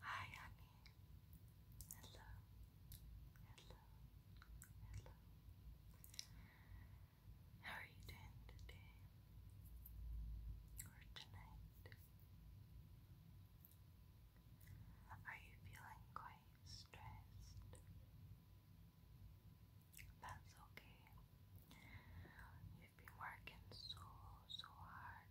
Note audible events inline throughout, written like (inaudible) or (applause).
Hi, honey. Hello. Hello. Hello. How are you doing today? Or tonight? Are you feeling quite stressed? That's okay. You've been working so, so hard.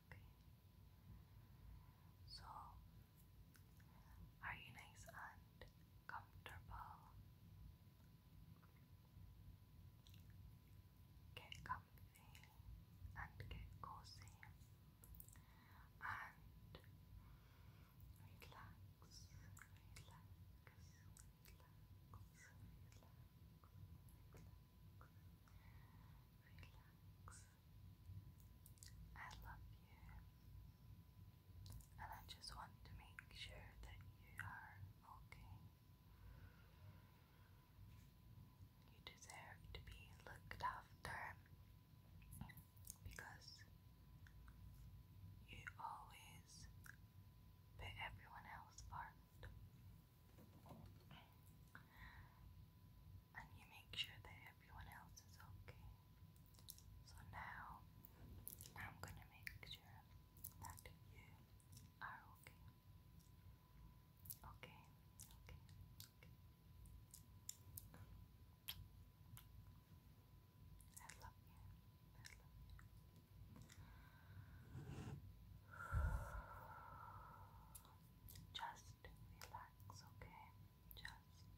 Okay. So, are you nice and comfortable? Get comfy and get cozy and relax, relax, relax, relax. Relax, I love you, and I just want to make sure that you are okay. You deserve to be looked after because you always put everyone else first and you make sure that everyone else is okay. So now I'm gonna make sure that you are okay. Okay, okay, okay. (sighs) Just relax relax, okay? Just relax,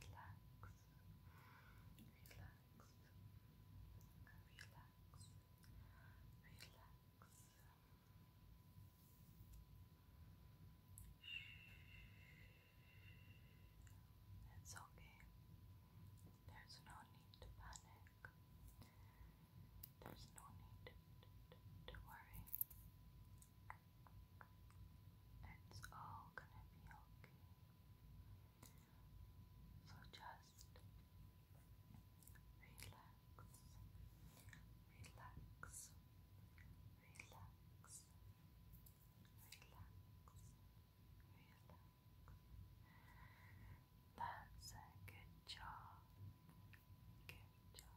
relax, relax, relax. It's okay. There's no need to panic. There's no need to worry. It's all gonna be okay. So just relax, relax, relax, relax, relax. That's a good job. Good job.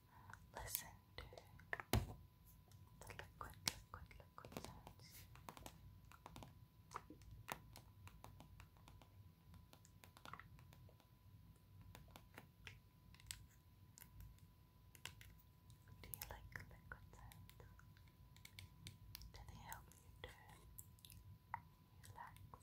listen to the liquid, liquid, liquid sounds. Do you like liquid sounds? Do they help you to relax?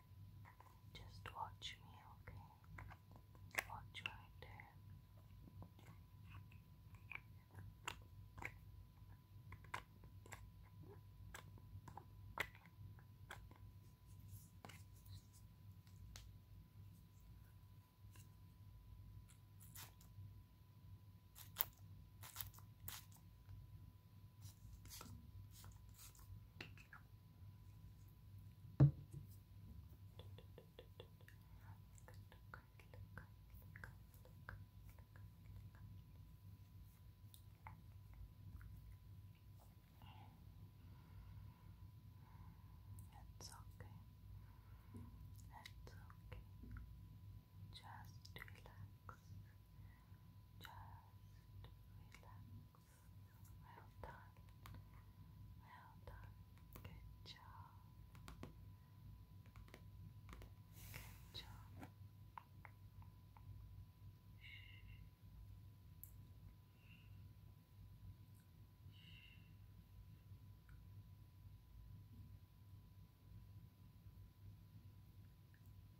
Just watch me, okay? Watch right there. Okay. It's okay. It's okay. Just relax. Well done. Well done. Good job. Good job. Good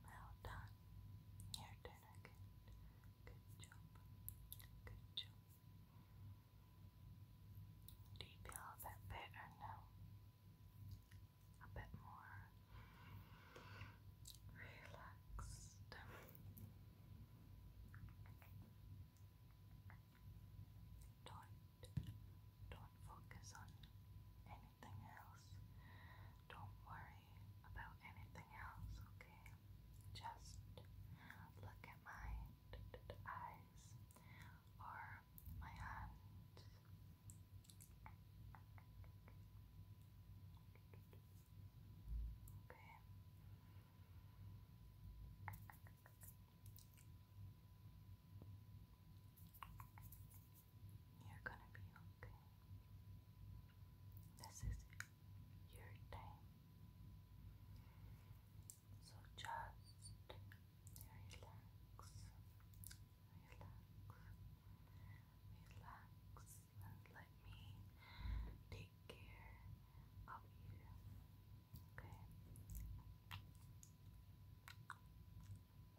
Well done. You're doing a good, good job. Good job. Do you feel a bit better now? A bit more relaxed. Don't, don't focus on anything else. Don't worry about anything else, okay? Just look at my eyes or my hand. Okay. You're gonna be okay. This is your time. So just relax, relax, relax, and let me take care of you. Okay.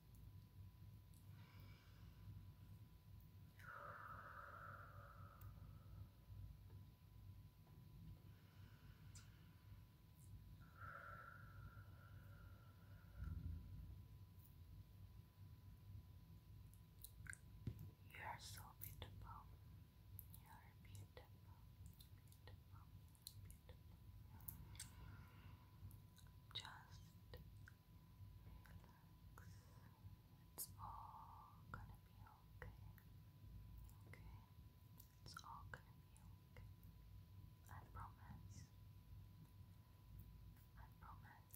You are so beautiful. You are beautiful, beautiful, beautiful. Just relax. It's all gonna be okay. Okay? It's all gonna be okay. I promise. I promise.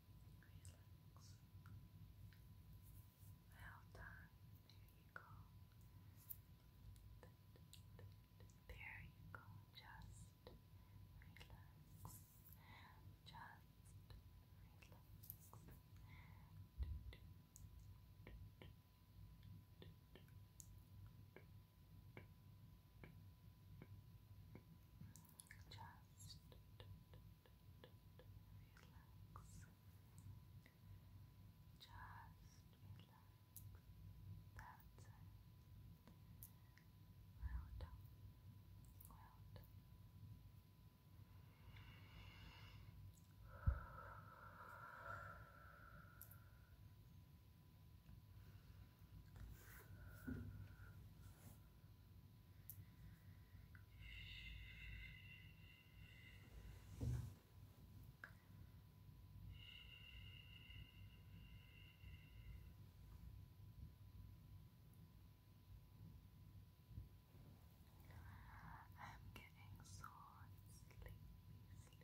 relax. Well done. There you go. There you go. Just relax. Just relax. Just relax. Just relax. That's it. Well done. I'm getting so sleepy, sleepy,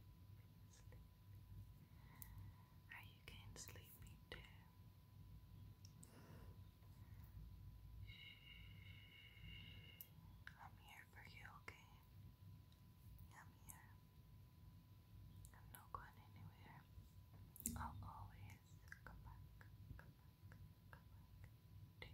sleepy. Are you getting sleepy too? I'm here for you, okay? I'm here. I'm not going anywhere. I'll always come back, come back, come back to you.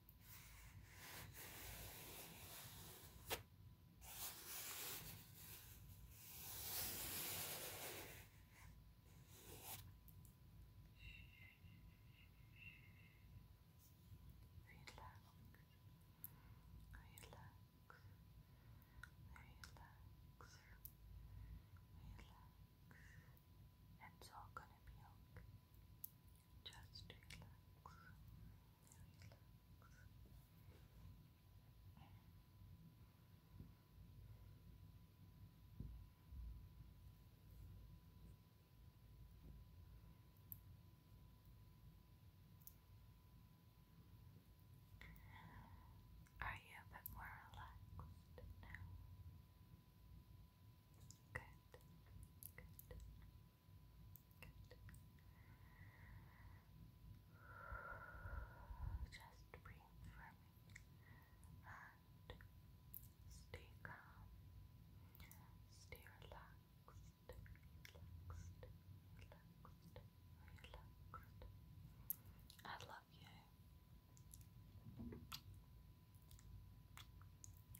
relax. It's all gonna be okay. Just relax. Relax. Are you a bit more relaxed now? Good. Good. Good. Just breathe for me and stay calm. Stay relaxed. Relaxed. Relaxed. Relaxed. I love you.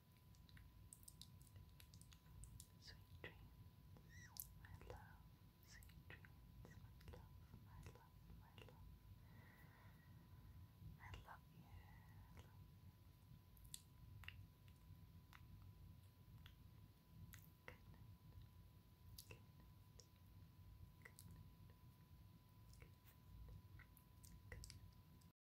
Sweet dreams, my love. Sweet dreams, my love, my love, my love. I love you. I love you. Good night. Good night. Good night. Good night. Good night.